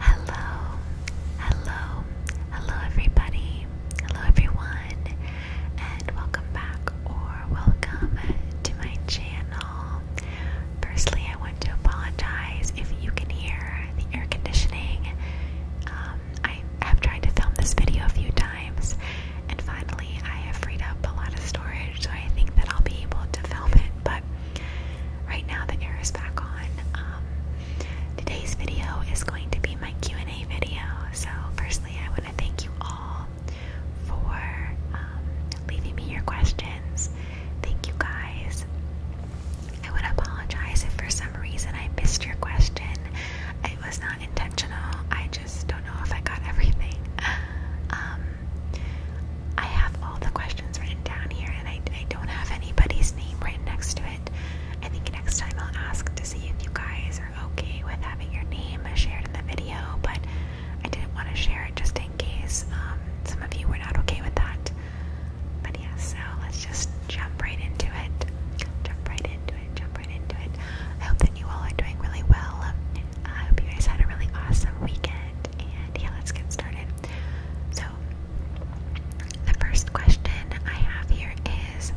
Hello, hello, hello, everybody. Hello, everyone, and welcome back or welcome to my channel. Firstly, I want to apologize if you can hear the air conditioning. Um, I have tried to film this video a few times, and finally, I have freed up a lot of storage, so I think that I'll be able to film it, but right now the air is back on. Um, today's video is going to be my Q&A video. So firstly, I want to thank you all for um, leaving me your questions. Thank you guys. I would apologize if for some reason I missed your question. It was not intentional. I just don't know if I got everything. Um, I have all the questions written down here, and I, I don't have anybody's name right next to it. I think next time I'll ask to see if you guys are okay with having your name shared in the video, but I didn't want to share it just in case um, some of you were not okay with that. But yeah, so let's just jump right into it. Jump right into it, jump right into it. I hope that you all are doing really well. I hope you guys had a really awesome weekend, and yeah, let's get started. So, the first question I have here is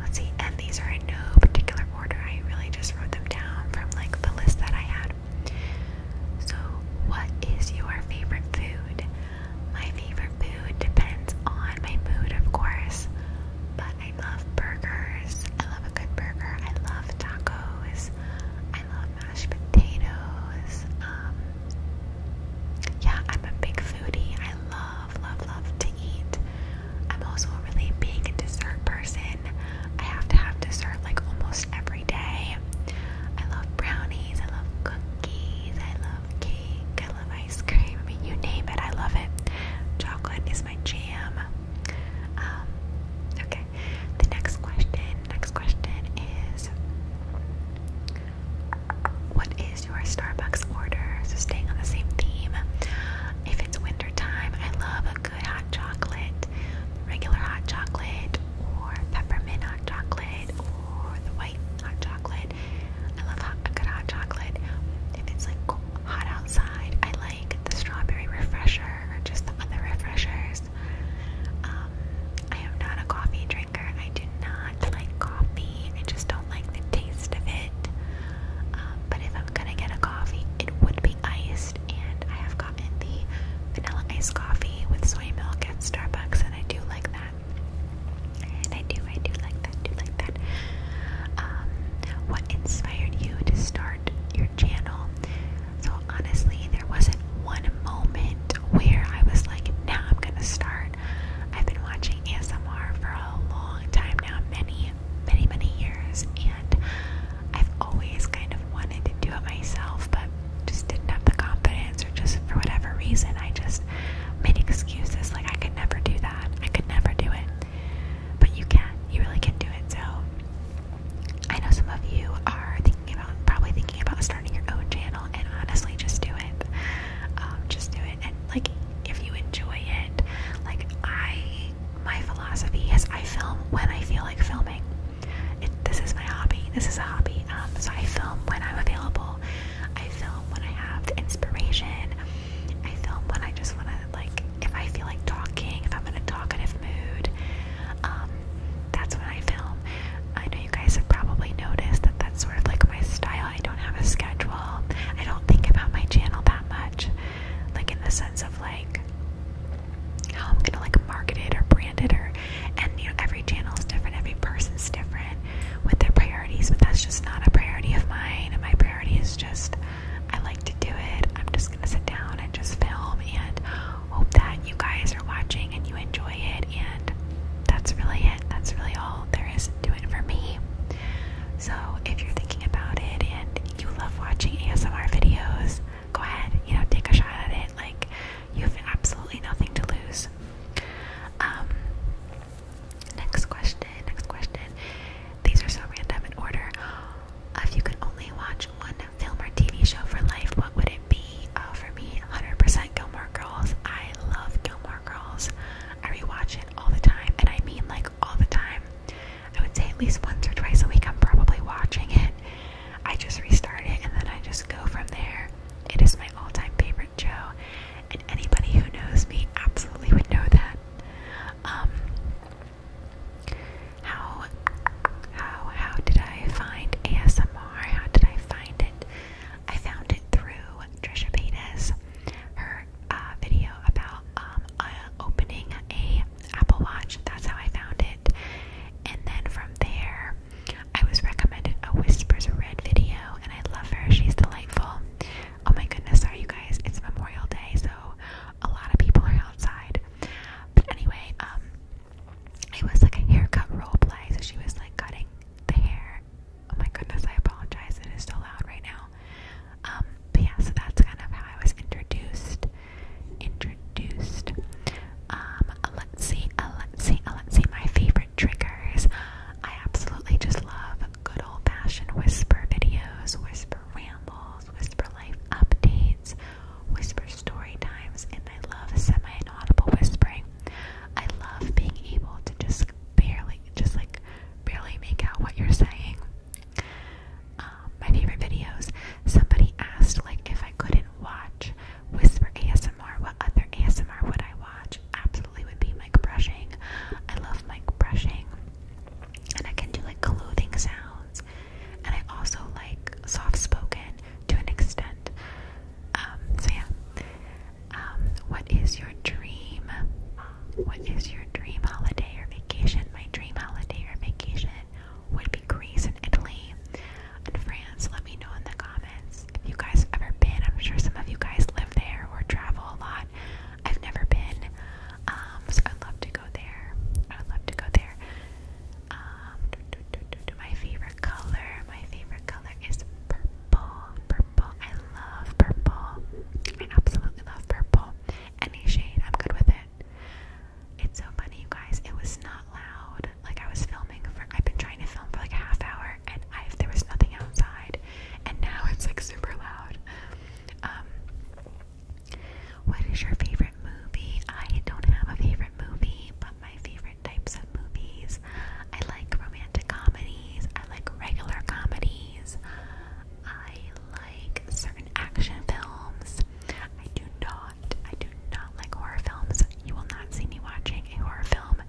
let's see, and these are in no particular order. I really just wrote them down from like the list that I had. So, what is your favorite food? My favorite food depends on my mood, of course, but I love burgers. I love a good burger. I love tacos. I um, love mashed potatoes. Um, yeah, I'm a big foodie. I love, love, love to eat. I'm also a really big dessert person. I have to have dessert like almost every day. I love brownies, I love cookies, I love cake, I love ice cream. I mean, you name it, I love it. Chocolate is my jam. Um, okay, the next question Next question is What is your Starbucks order? So, staying on the same theme. If it's winter time, I love a good hot chocolate, regular hot chocolate, or peppermint hot chocolate, or the white hot chocolate. I love hot, a good hot chocolate. If it's like hot outside, I like the strawberry refresher or just the other refreshers. Um, I am not a coffee drinker. I do not like coffee. I just don't like the taste of it. Um, but if I'm gonna get a coffee, it would be iced, and I have gotten the vanilla iced coffee with soy milk at Starbucks, and I do like that. And I do, I do like that, do like that. Um, what inspired you to start your channel? So honestly, there wasn't one moment where I was like, now I'm gonna start. I've been watching ASMR for a long time now, many, many, many years, and I've always kind of wanted to do it myself, but just didn't have the confidence, or just for whatever reason, I just made excuses like I could never do that, I could never do it. But you can, you really can do it. So I know some of you are thinking about, probably thinking about starting your own channel, and honestly, just do it. Um, just do it, and like if you enjoy it, like I, my philosophy is I film when I feel like filming. It, this is my hobby. This is a hobby. Um, so I film when I'm available. I film when I have the inspiration. I film when I just want to like if I feel like talking, if I'm in a talkative mood. Um, that's when I film. I know you guys have probably noticed that that's sort of like my style. I don't have a schedule. I don't think about my channel that much, like in the sense of like how I'm gonna like market it or brand it or and you know every channel is different, every person's different with their priorities, but that's just not a priority of mine. And my priority is just I like to do it. I'm just gonna sit down and just film and hope that you guys are watching and you enjoy it. And that's really it. That's really all there is to it for me. So if you're thinking about it and you love watching ASMR videos, go ahead, you know, take a shot at it. Like you have absolutely nothing to lose. Um next question, next question. These are so random in order. If you could only watch one film TV show for life, what would it be? Uh, for me, 100% Gilmore Girls. I love Gilmore Girls. I rewatch it all the time, and I mean like all the time. I would say at least once or twice a week, I'm probably watching it. I just restart it, and then I just go from there. It is my all time favorite show, and anybody who knows me absolutely would know that. Um, how how how did I find ASMR? How did I find it? I found it through Trisha Paytas, her uh, video about um, uh, opening a Apple Watch. That's how I found it. And then from there, I was recommended a Whispers Red video, and I love her. She's delightful. Oh my goodness, sorry you guys, it's Memorial Day, so a lot of people are outside. But anyway, um, it was like a haircut role play, so she was like cutting the hair. Oh my goodness, I apologize, it is so loud right now. Um, but yeah, so that's kind of how I was introduced. Introduced. Um, uh, let's see, uh, let's see, uh, let's see my favorite triggers. I absolutely just love good old fashioned whisper videos, whisper rambles, whisper life updates whisper story times, and I love semi inaudible whispering. I love being able to just barely, just like barely make out what you're saying. Um, my favorite videos. Somebody asked, like, if I couldn't watch whisper ASMR, what other ASMR would I watch? Absolutely would be mic brushing. I love mic brushing, and I can do like clothing sounds and I also like soft spoken to an extent. Um, so yeah. Um, what is your dream? What is your dream holiday or vacation? My dream holiday or vacation would be Greece and Italy and France. Let me know in the comments if you guys have ever been. I'm sure some of you guys live there or travel a lot. I've never been. Um, so I'd love to go there. I would love to go there. Um, my favorite color, my favorite color is purple. Purple, I love purple. I absolutely love purple. Any shade, I'm good with it. It's so funny, you guys. It was not loud. Like I was filming for, I've been trying to film for like a half hour, and I there was nothing outside, and now it's like super loud. Um, what is your favorite movie? I don't have a favorite movie, but my favorite types of movies. I like romantic comedies. I like regular comedies. I like certain action films. I do not, I do not like horror films. You will not see me watching a horror film.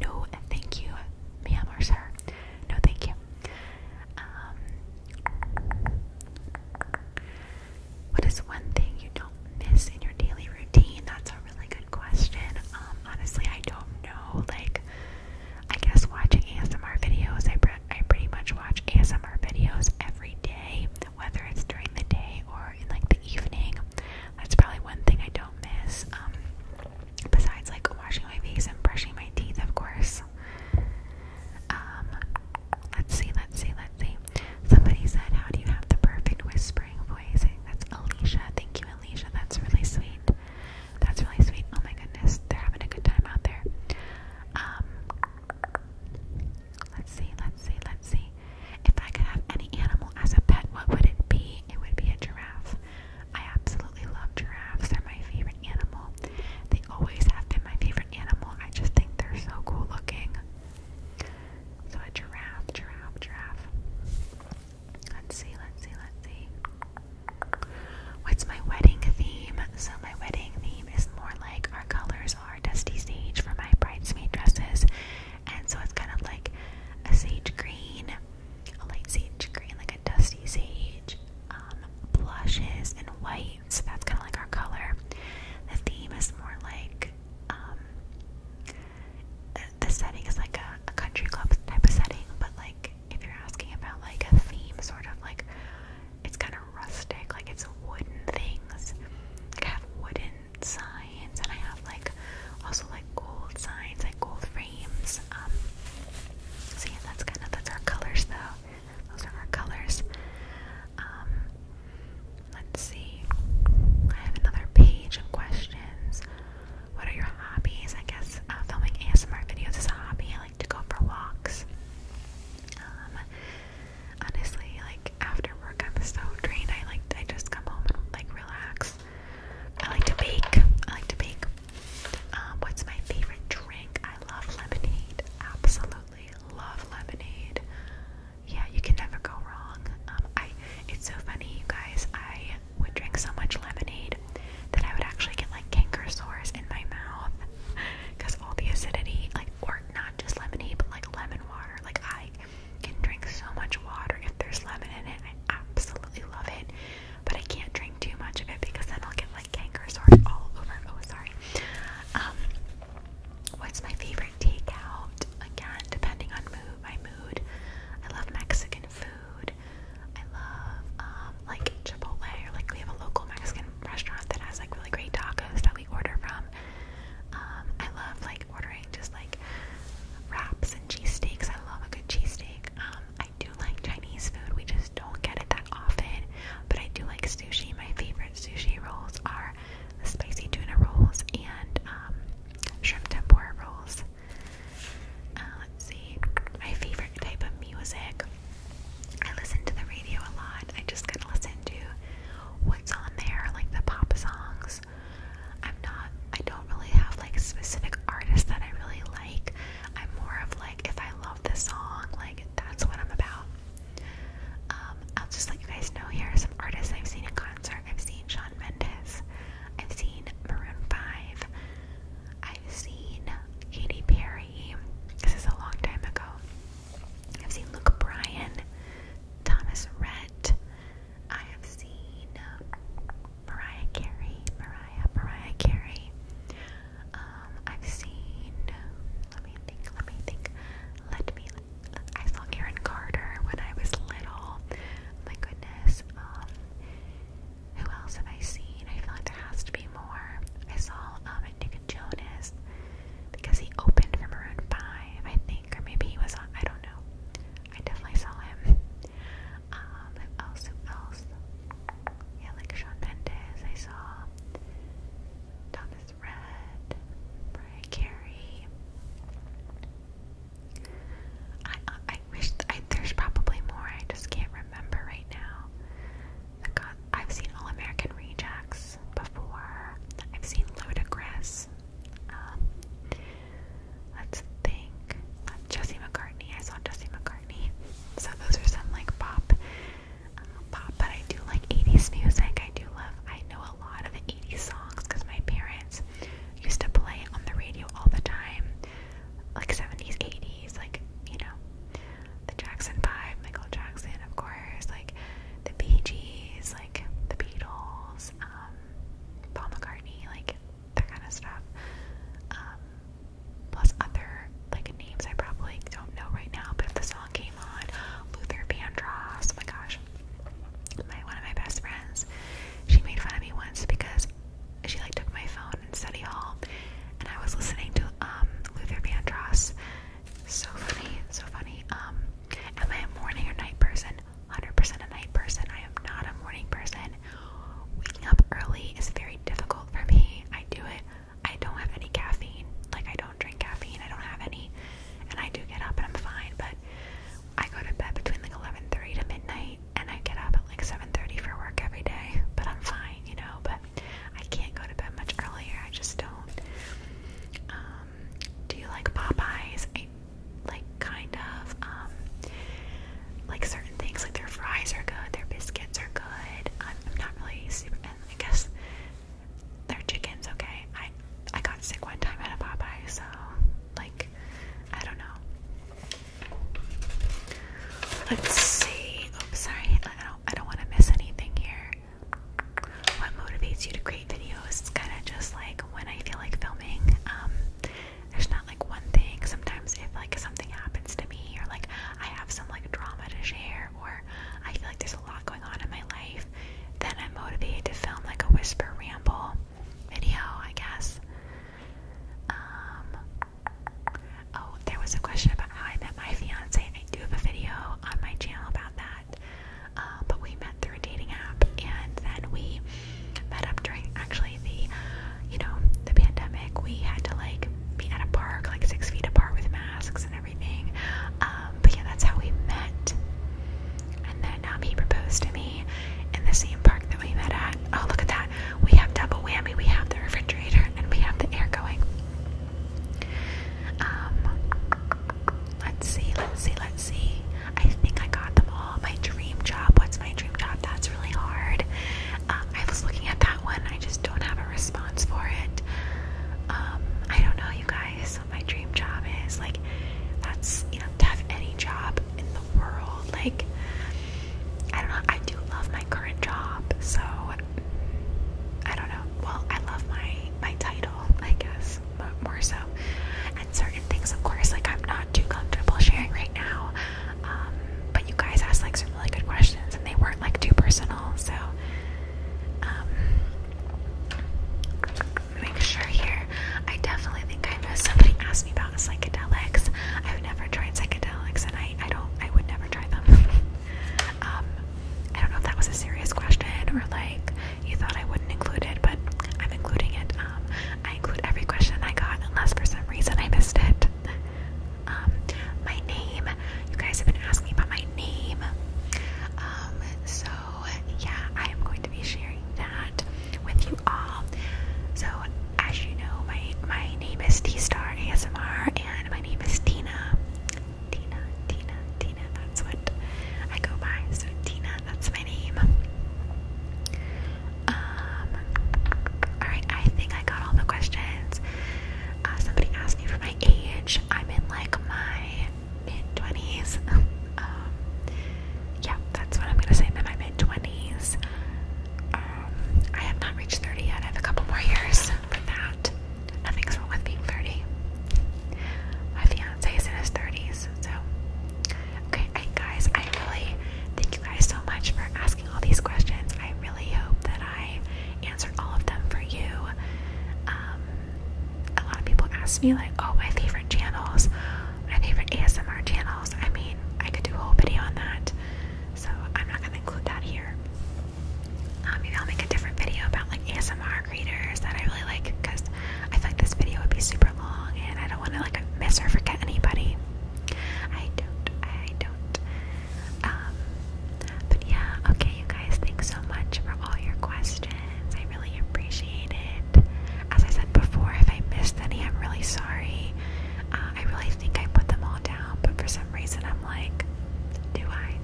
No, thank you, ma'am sir. No, thank you. Um, what is one thing you don't miss in your daily routine? That's a really good question. Um, honestly, I don't know. Like, I guess watching ASMR videos. I pretty much watch ASMR videos every day, whether it's during the day or in like the evening. That's probably one thing I don't miss. Um, besides like washing my face and brushing my teeth, of course. Um, let's see, let's see, let's see. Somebody said, How do you have the perfect whispering voice? That's Alicia. Thank you, Alicia. That's really sweet. That's really sweet. Oh my goodness. They're having a good time out there. Um, let's see, let's see, let's see. If I could have any animal as a pet, what would it be? It would be a giraffe. I absolutely love giraffes. They're my favorite animal. They always have been my favorite animal. I just think they're so cool looking. So a giraffe, giraffe, giraffe. Let's see, let's see, let's see. What's my wedding theme? So my wedding theme is more like our colors are dusty sage for my bridesmaid dresses. And so it's kind of like a sage green, a light sage green, like a dusty sage, um, blushes and white so that's kind of like our color. The theme is more like um, the setting is like a, country club type of setting, but like if you're asking about like a theme, sort of like it's kind of rustic, like it's wooden things. Like I have wooden signs, and I have like also like gold signs, like gold frames. Um, so yeah, that's kind of that's our colors though. Those are our colors. Um, let's see. I have another page of questions. What are your hobbies? I guess uh, filming ASMR videos is a hobby. I like to go for walks. Um, honestly, like after work, I'm so drained. I like I just come home and like relax. I like to bake. I like to bake. Um, what's my favorite drink? I love lemonade. Absolutely absolutely love lemonade. Yeah, you can never go wrong. Um, I it's so funny, you guys. I would drink so much lemonade that I would actually get like canker sores in my mouth because all the acidity, like, or not just lemonade, but like lemon water. Like I can drink so much water if there's lemon in it. I absolutely love it, but I can't drink too much of it because then I'll get like canker sores all over. Oh, sorry. Um, What's my favorite takeout? Again, depending on mood, my mood. I love Mexican food. I love um, like Chipotle, or like we have a local Mexican restaurant that has like really great tacos that we order from. Um, I love like ordering just like wraps and cheesesteaks. I love a good cheesesteak. Um, I do like Chinese food. We just don't get it that often, but I do like sushi. My favorite sushi rolls are the spicy tuna rolls and um, shrimp tempura rolls. Uh, let's see, my favorite type of music. I listen to the radio a lot. I just kind of listen to what's on there, like the pop songs. I'm not, I don't really have like specific artists that I really like. I'm more of like, if I love the song, like that's what I'm about. Um, I'll just let you guys know here some artists I've seen in concert. I've seen Sean Mendes, I've seen Maroon 5, I've seen Katy Perry, this is a long time ago. I've seen Luke Bryan, Thomas Rhett, I have seen um, Mariah Carey, Mariah, Mariah Carey. Um, I've seen, let me me think, let me think, let me. I saw Aaron Carter when I was little. My goodness. Um, who else have I seen? I feel like there has to be more. I saw um Nick Jonas because he opened for Maroon Five, I think, or maybe he was on. I don't know. I definitely saw him. Um, else? Who else? Yeah, like Sean Mendes. I saw Thomas red. Mariah I, I, wish I, there's probably more. I just can't remember right now. I've seen All American Rejects before. I've seen Ludacris. Um, let's think. Jesse McCartney. I saw Jesse McCartney. So those are some like pop um, pop, but I do like 80s music. I do love, I know a lot of 80s songs because my parents used to play it on the radio all the time. Like 70s, 80s, like, you know, the Jackson 5, Michael Jackson, of course, like the Bee Gees, like the Beatles, um, Paul McCartney, like that kind of stuff. Um, plus other like names I probably don't know right now, but if the song came on, Luther Vandross, oh my gosh, my one of my best friends, she made fun of me once because she like took my phone in study hall, and I was listening to um Luther Vandross. So funny, so funny. Um, am I a morning or night person? 100% a night person. I am not a morning person. Waking up early is very difficult for me. I do it I don't have any caffeine. Like I don't drink caffeine. I don't have any, and I do get up and I'm fine. But I go to bed between like 11:30 to midnight, and I get up at like 7:30 for work every day. But I'm fine, you know. But I can't go to bed much earlier. I just don't. Um, do you like Popeyes? I like kind of. Um, like certain things, like their fries are good, their biscuits are good. I'm, not really super. I guess their chicken's okay. I I got sick one time at a Popeye, so like I don't know. Let's see. Oops, sorry. I don't I don't want to miss anything here. What motivates you to create videos? It's kind of just like when I feel like filming. Um, there's not like one thing. Sometimes if like something happens to me or like I have some like drama to share or I feel like there's lot going on in my life, then I'm motivated to film like a whisper ramble video, I guess. Um, oh, there was a question about how I met my fiance. I do have a video on my channel about that. Uh, but we met through a dating app, and then we met up during actually the, you know, the pandemic. We had to like be at a park, like six feet apart with masks and everything. Um, but yeah, that's how we met. And then um, he proposed to me in the same park that we met at. Oh, look at that. We have double whammy. We have the refrigerator and we have the air going. Um, let's see, let's see, let's see. I think I got them all. My dream job. What's my dream job? That's really hard. Um, I was looking at that one. I just don't have a response for it. Um, I don't know, you guys, what my dream job is. Like, that's, you know, to have any job in the world. Like, I don't know, I do love my current job, so I don't know. Well, I love my my title, I guess, but more so. And certain things, of course, like I'm not too comfortable sharing right now. Um, but you guys asked like some really good questions, and they weren't like too personal, so um, Make sure here. I definitely think I know somebody asked me about psychedelics. I've never tried psychedelics, and I, I don't. I would never try them. um, I don't know if that was a serious question or like you thought I wouldn't include it, but I'm including it. Um, I include every question I got, unless for some reason I missed it. Um, my name you guys have been asking about my name. Um, so yeah, I am going to be sharing that with you all. So as you know, my my name is T Star ASMR and my name is Tina. Tina, Tina, Tina, that's what I go by. So Tina, that's my name. Um, Alright, I think I got all the questions. Uh, somebody asked me for my age. I'm in like my mid 20s. Um, yeah, that's what I'm gonna say. I'm in my mid 20s. Um, I have not reached 30 yet. I have a couple more years for that. Nothing's wrong with being 30. My fiance is in his 30s, so. Okay, guys, I really thank you guys so much for asking all these questions. I really hope that I answer all of them for you. Um, a lot of people ask me, like, oh, my favorite channels, my favorite ASMR channels. I mean, I could do a whole video on that, so I'm not going to include that here. Um, maybe I'll make a different video about like ASMR creators that I really like because I feel like this video would be super long and I don't want to like miss or forget anybody. I don't. I don't. Um, but yeah, okay, you guys, thanks so much for all your questions. I really appreciate it. As I said before, if I missed any, I'm really sorry. Uh, I really think I put them all down, but for some reason, I'm like, do I?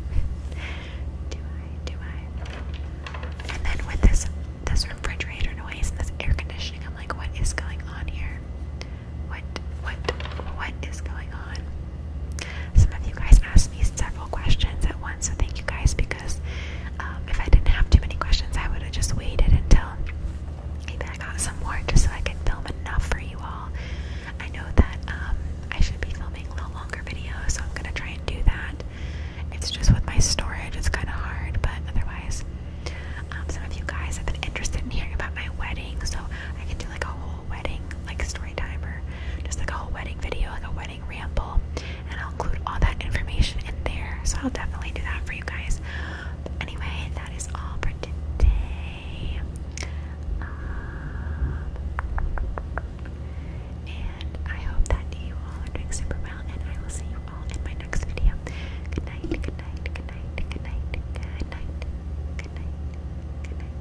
do I? Do I? And then with this this refrigerator noise and this air conditioning, I'm like, what is going on here? What? What? What is going on? Some of you guys asked me several questions at once, so thank you guys because um, if I didn't have too many questions, I would have just waited until maybe I got some more just so I could film enough for you all. I know that um, I should be filming a little longer videos, so I'm gonna try and do that. It's just with my storage, it's kind of hard, but otherwise, um, some of you guys have been interested in hearing about my wedding, so I can do like a whole wedding like story time or just like a whole wedding video, like a wedding ramble, and I'll include all that information in there. So I'll definitely do that for you guys. anyway, that is all for today. Um, and I hope that you all are doing super well, and I will see you all in my next video. Good night, good night, good night, good night, good night, good night, good night.